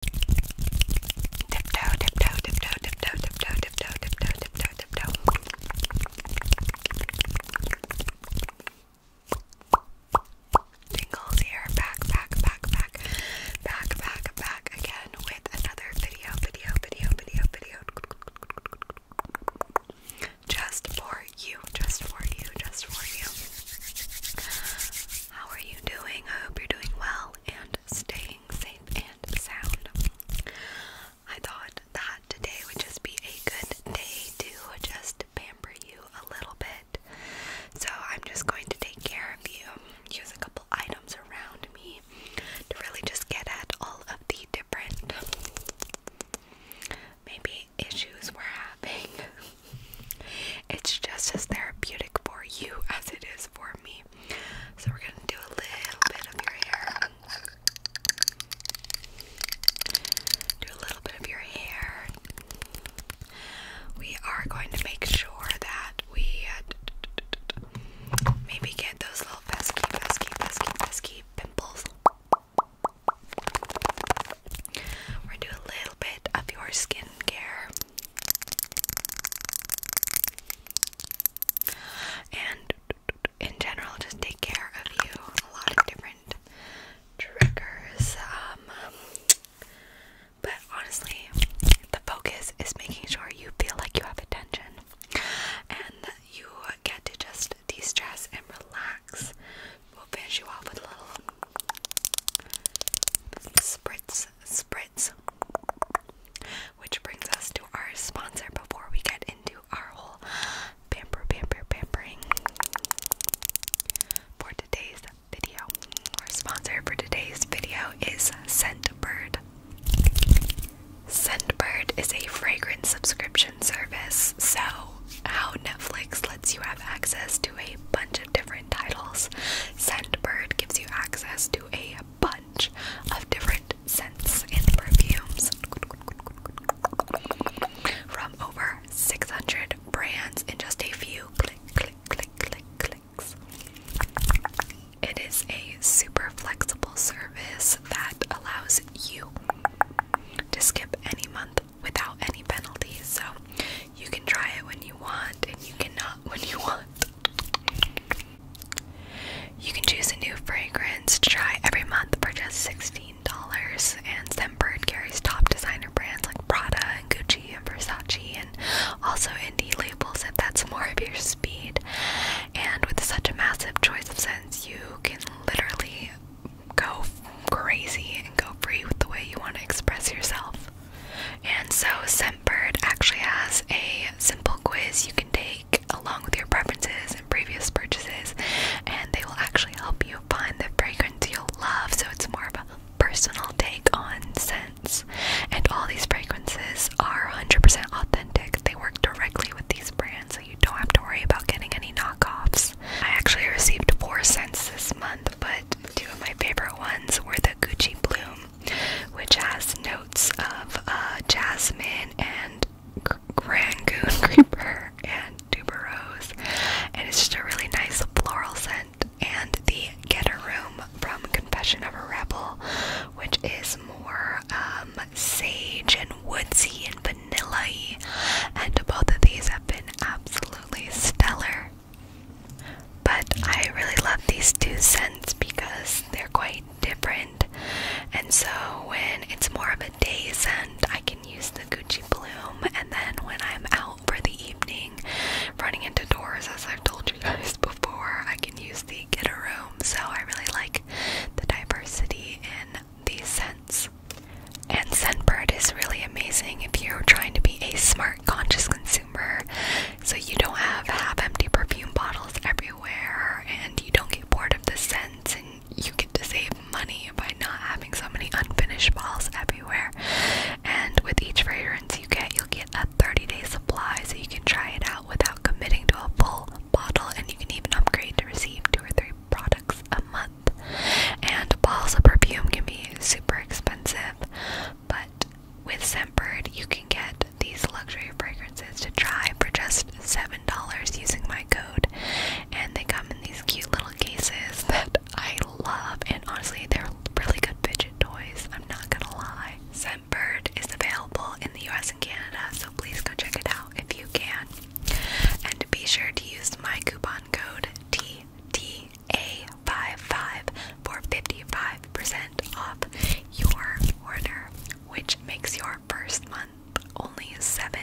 Tiptoe, tiptoe, tiptoe, tiptoe, tiptoe, tiptoe, tiptoe, tiptoe, tiptoe. Tingles here, back, back, back, back, back, back, back again with another video, video, video, video, video. Just for you, just for you, just for you. How are you doing? I hope you're doing well and staying safe and sound. I thought that today would just be a good day to just pamper you a little bit. So I'm just going to take care of you, use a couple items around me to really just get at all of the different maybe issues we're having. It's just as therapeutic for you as it is for me. So, we're gonna do a little bit of your hair. Do a little bit of your hair. We are going to make sure that we maybe get those little pesky, pesky, pesky, pesky pimples. We're gonna do a little bit of your skincare. And in general, just take care of you. A lot of different triggers. Um, but honestly, the focus is making sure you feel like you have attention and that you get to just de stress and relax. We'll finish you off with a little Spritz, spritz. Which brings us to our sponsor before we get into our whole pamper, pamper, pampering. For today's video, our sponsor for today's video is Scentbird. Scentbird is a fragrance subscription service. So, how Netflix lets you have access to a bunch of different titles. Scentbird gives you access to a bunch of different scents and perfumes from over 600 brands in just a few clicks. It is a super flexible service that allows you to skip any month without any penalties. So you can try it when you want, and you cannot when you want. You can choose a new fragrance to try every month for just $16. And Scentbird carries top designer brands like Prada and Gucci and Versace and also indie labels if that's more of your speed. And with such a massive choice of scents, you can literally go crazy and go free with the way you want to express yourself. And so Scentbird actually has a simple quiz you can take along with your preferences and previous purchases, and they will actually help you find the fragrance you'll love. So it's more of a personal take on scents. And all these fragrances are 100% authentic. They work directly with these brands, so you don't have to worry about getting any knockoffs. I actually received four scents this month, but two of my favorite ones were the Gucci Bloom, which has notes of uh, jasmine and Rangoon Creeper and Tuberose, and it's just a really nice floral scent. And the Get a Room from Confession of a Rebel, which is more um, sage and woodsy and vanilla And both of these have been absolutely stellar. But I really love these two scents because they're quite different. And so when it's more of a day scent, I can use the Gucci Bloom. And then when I'm out for the evening, running into doors, as I've told you guys before, I can use the Get a Room. So I really like the diversity in these scents. And Scentbird is really amazing if you're trying to be a smart, conscious consumer so you don't have half empty perfume bottles everywhere and you don't get bored of the scents and you get to save money by not having so many unfinished bottles everywhere. And with each fragrance you get, you'll get a 30 day supply so you can try it out without committing to a full bottle and you can even upgrade to receive two or three products a month. And balls of perfume can be super expensive, but with Scentbird, you can get these luxury fragrances to try for just $7 using my code. And they come in these cute little cases that I love, and honestly, they're really good fidget toys. I'm not gonna lie. Scentbird is available in the US and Canada, so please go check it out if you can. And be sure to use my coupon code TT a55 for 55% off your order, which makes your first month only $7.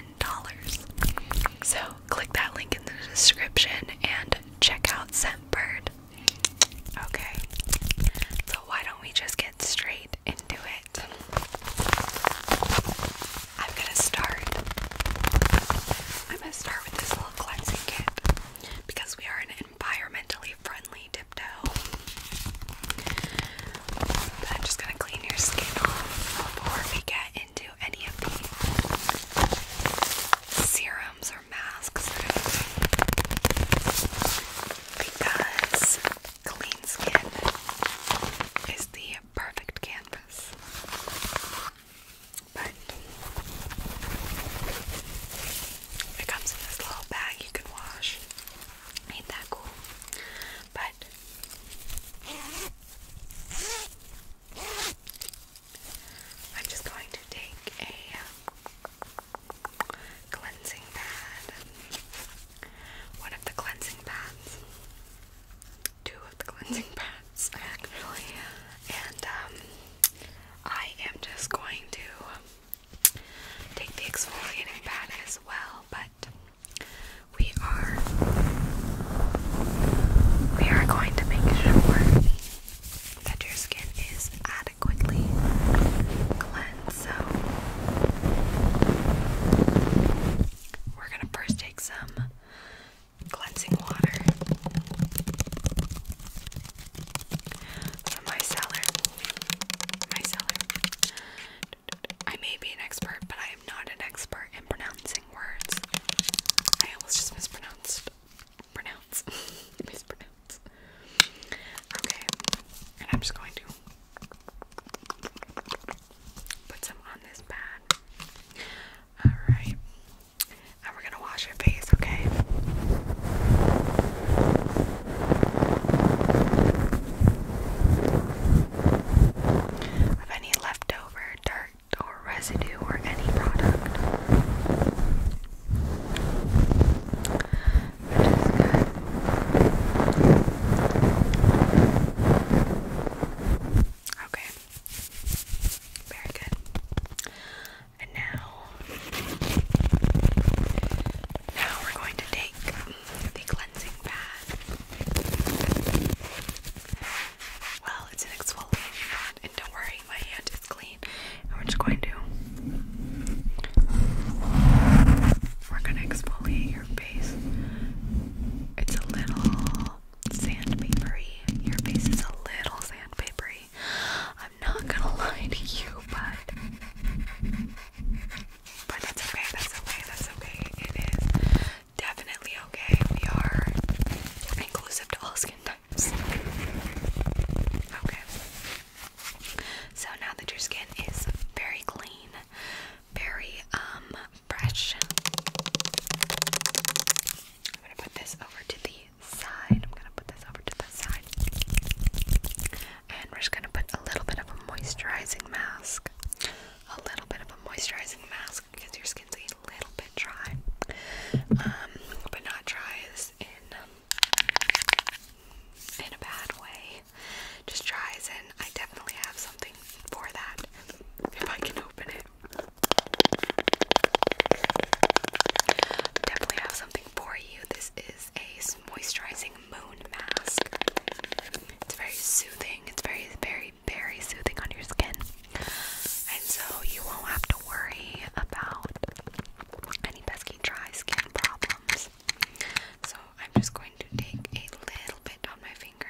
So click that link in the description and check out Scentbird. Okay, so why don't we just get straight into it? I'm gonna start. I'm gonna start with this little cleansing kit because we are an environmentally friendly tiptoe. I'm just gonna clean your skin off before we get into any of the serums or masks because clean skin is the perfect canvas but it comes in this little bag you can wash. Ain't that cool? But I'm just going to take a um, cleansing pad, one of the cleansing pads, two of the cleansing pads actually, and um, I am just going to take the exfoliating pad as well. But we are we are going to make sure that your skin is adequately cleansed. So we're gonna first take some cleansing water from my cellar. My cellar. I may be an expert, but I am not an expert in pronouncing words. I almost just mispronounced. Pronounce. mispronounce. Okay. And I'm just going to put some on this pad. Alright. And we're gonna wash your face, okay? Of any leftover dirt or residue or any product. Which is good. Okay. Very good. And now, now we're going to take the cleansing pad. Well, it's an exfoliating pad, and don't worry, my hand is clean. And we're just going to we're gonna exfoliate your face. It's a little little sandpapery. Your face is a little sandpapery. I'm not gonna lie to you, but but that's okay. That's okay. That's okay. It is definitely okay. We are inclusive to all skin types. Okay. So now that your skin is very clean, very um brush. I'm gonna put this over to the side. I'm gonna put this over to the side. And we're just gonna put a little bit of a moisturizing mask. A little bit of a moisturizing mask because your skin's a little bit dry. Um, but not dry in um, in a bad way. Just dry as I definitely have something for that. If I can open it. Definitely have something for you. This is a moisturizing moon mask. It's very soothing. It's very, very, very soothing on your skin. And so you won't have to worry about any pesky dry skin problems. So I'm just going to take a little bit on my finger.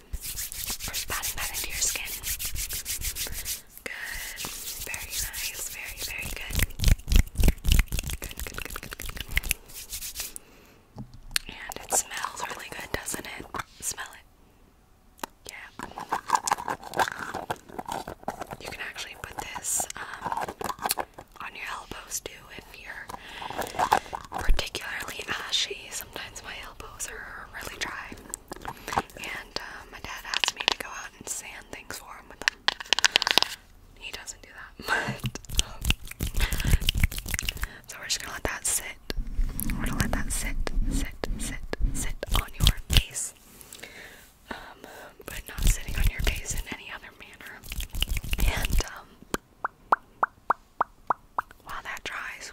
Just patting that into your skin. Good. Very nice. Very, very good. Good, good, good, good, good, And it smells really good, doesn't it? Smell it. Yeah. You can actually put this um, on your elbows too if you're particularly ashy sometimes my elbows are really dry. And uh, my dad asks me to go out and sand things for him with them. He doesn't do that, um, so we're just gonna let that sit. We're gonna let that sit, sit, sit, sit on your face. Um, but not sitting on your face in any other manner. And, um, while that dries,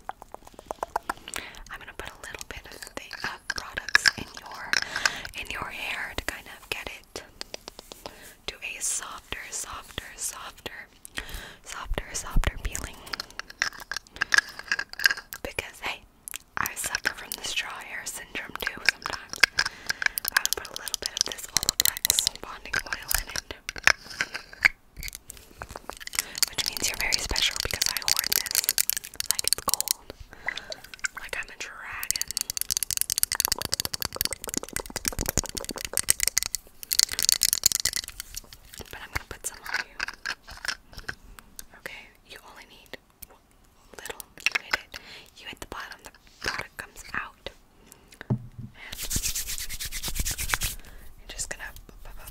I'm gonna put a little bit of the uh, products in your in your hair to kind of get it to a softer, softer, softer, softer, softer peeling. Because hey, I suffer from the straw hair syndrome too sometimes. I would put a little bit of this Olaplex bonding oil in it. Which means you're very special because I hoard this like it's gold. Like I'm a dragon. But I'm gonna put some on you. Okay, you only need little. You hit it. You hit the bottom, the product comes out. And I'm just gonna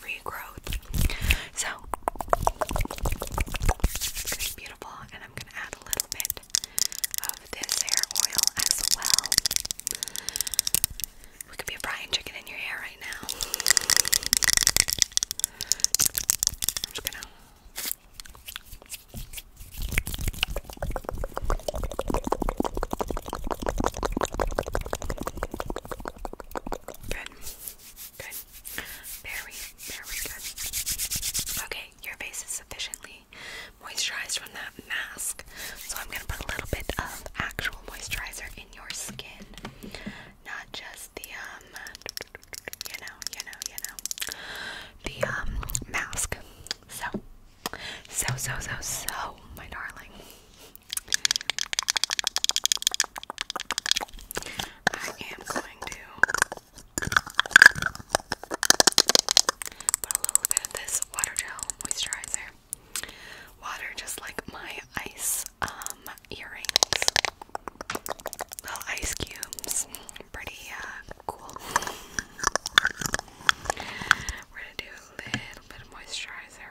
regrowth. So beautiful, and I'm gonna add a little bit of this hair oil as well. We could be frying chicken in your hair right now. I'm just gonna. Good. Good. Very, very good. Okay, your face is sufficiently moisturized from that mask. So I'm gonna put a little bit of actual moisturizer in your skin. Not just the um you know, you know, you know. The um mask. So so so so so my darling. I am going to put a little bit of this water gel moisturizer. Water just like my ice um, earrings. Little ice cubes. Pretty uh, cool. We're gonna do a little bit of moisturizer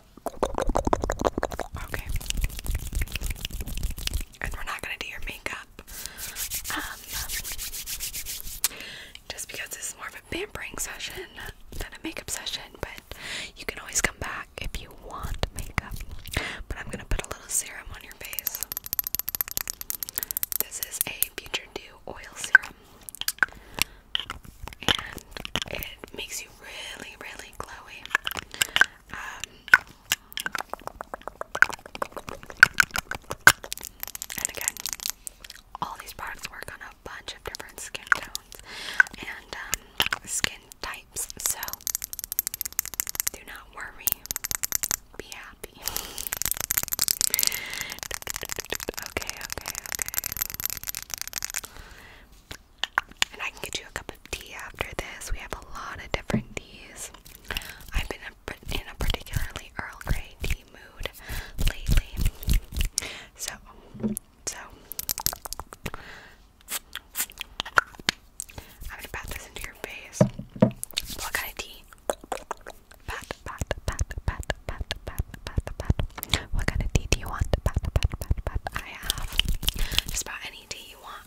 Okay. And we're not gonna do your makeup. Um just because this more of a pampering session than a makeup session, but you can always come back if you want makeup. But I'm gonna put a little serum on your face. This is a Future Dew oil serum and it makes you really, really glowy. Um, and again, all these products work on a bunch of different skin tones and um, skin types, so do not worry. Be happy. okay, okay, okay. And I can get you a cup of tea after this. We have a lot of different teas. I've been in a particularly Earl Grey tea mood lately. So, so I'm gonna pat this into your face. What kind of tea? Pat, pat, pat, pat, pat, pat, pat, pat. What kind of tea do you want? Pat, pat, pat, pat. I have just about any tea you want.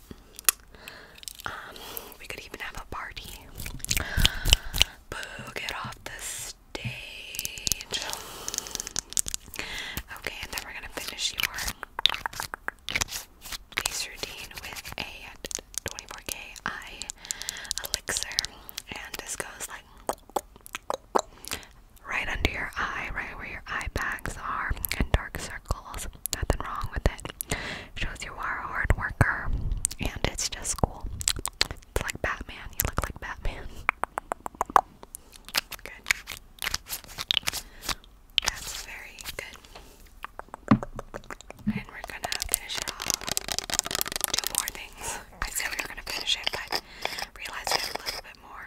Um, we could even have a party. Boo, get off the stage. Okay, and then we're gonna finish your face routine with a 24K eye elixir. And this goes like right under your eye, right where your eye bags are, and dark circles. Nothing wrong with it. Shows you are a hard worker, and it's just cool. It's like Batman. You look like Batman. Good. That's very good. And we're gonna finish off. Two more things. I said we were gonna finish it, but realized we have a little bit more.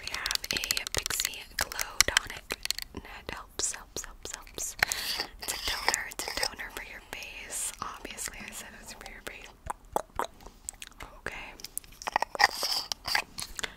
We have a Pixie Glow Tonic that helps, helps, helps, helps. It's a toner, it's a toner for your face. Obviously, I said it's for your face. Okay.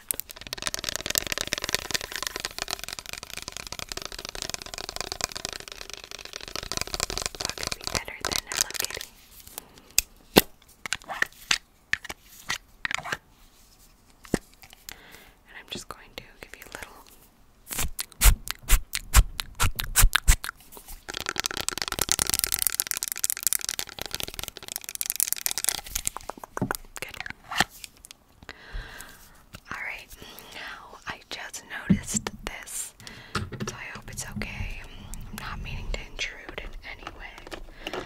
What better than Hello Kitty? And I'm just going to give you little. Alright, now I just noticed this, so I hope it's okay. I'm not meaning to intrude in any way,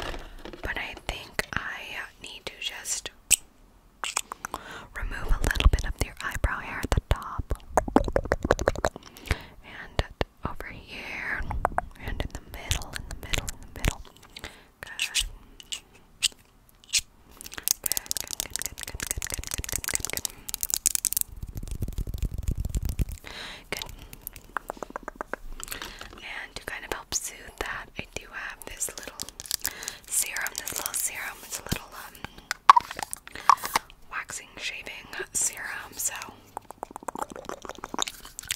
but I think I need to just remove a little bit of your eyebrow hair at the top, and over here, and in the middle, in the middle, in the middle. Good. Good, good, good, good, good, good, good, good, good, And to kind of help soothe that, I do have this little serum, this little serum. It's a little um waxing shaving serum, so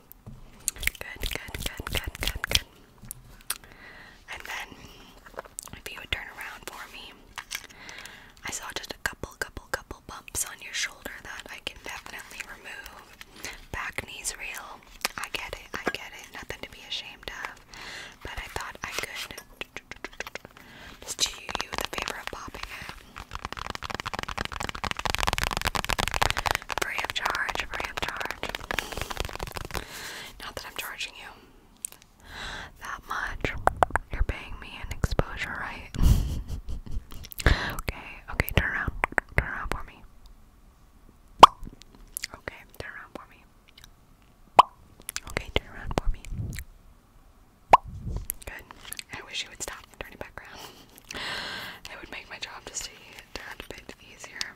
Good, good, good, good, good, good. And then, if you would turn around for me, I saw just a couple, couple, couple bumps on your shoulder that I can definitely remove. Back knee's real. I get it, I get it. Nothing to be ashamed of. But I thought I could just do you the favor of popping it Free of charge, free of charge. Not that I'm charging you that much. You're paying me an exposure, right? okay, okay, turn around. Turn around for me. Okay, turn around for me. Okay, turn around for me. Good. I wish you would stop and turn it back around. It would make my job just a tad bit easier.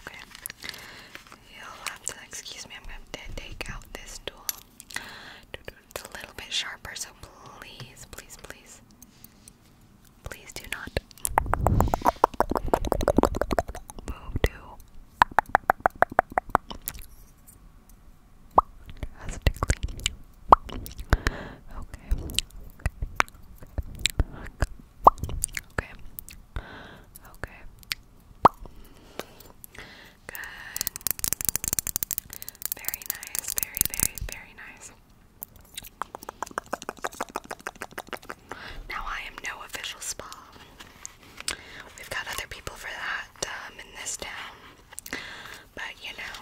Okay. You'll have to excuse me, I'm going to take out this tool. It's a little bit sharper, so please, please, please, please do not move too has to Okay. Okay. Okay. Good. Very nice. Very, very, very nice. Now I am no official spa. We've got other people for that um, in this town. But you know,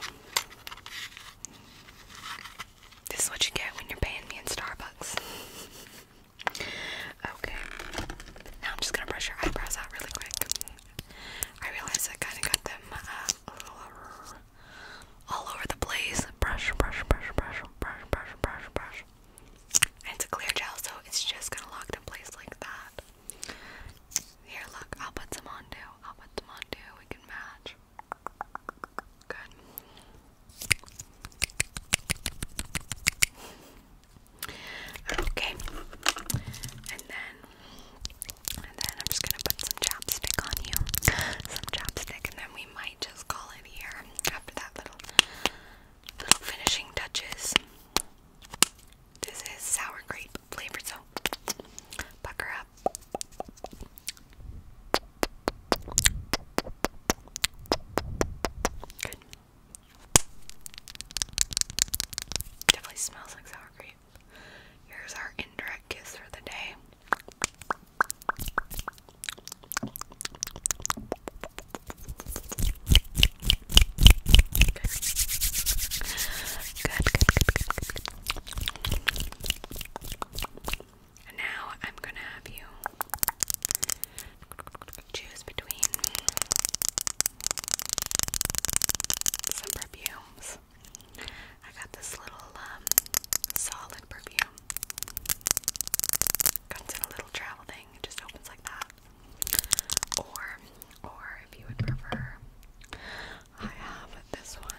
this is what you get when you're paying me in Starbucks. okay. Now I'm just gonna brush your eyebrows out really quick. I realize I kind of got them uh, all over the place. Brush, brush, brush, brush, brush, brush, brush, brush. it's a clear gel, so it's just gonna lock in place like that. Here, look, I'll put some on I'll put some on We can match. Good. Okay. And then, and then I'm just gonna put some chapstick on you. Some chapstick, and then we might just call it here after that little, little finishing touches. This is sour grape flavor, so pucker up. Good. Definitely smells like sour cream. Here's our indirect kiss for the day. Good, good, good, good, good, good, now I'm gonna have you choose between some perfumes. I got this little um, solid perfume. Comes in a little travel thing. It just opens like that. Or, or if you would prefer, I have this one.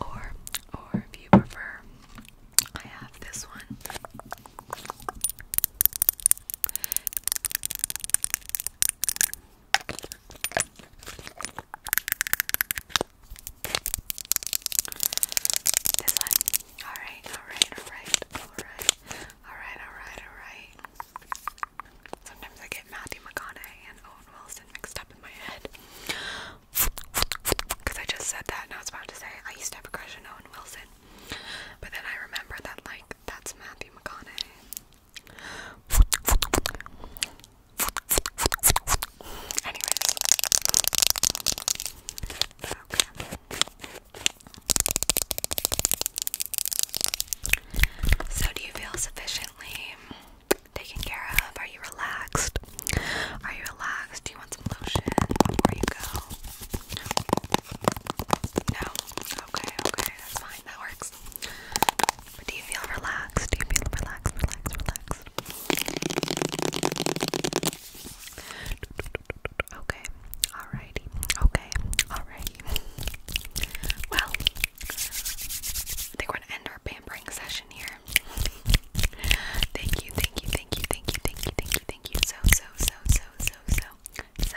Or, or if you prefer, I have this one alright, alright, alright. Alright, alright, alright. Sometimes I get Matthew McConaughey and Owen Wilson mixed up in my head. Because I just said that and I was about to say I used to have a crush on Owen Wilson. But then I remember that, like, that's Matthew McConaughey. Anyways. So, do you feel sufficiently taken care of? Are you relaxed? Are you relaxed? Do you want some lotion before you go? No? Okay, okay, that's fine. That works do you feel relaxed? Do you feel relaxed, relaxed, relaxed? Okay, alrighty, okay, alrighty. Well, I think we're gonna end our pampering session here. thank you, thank you, thank you, thank you, thank you, thank you, thank you so, so, so, so, so, so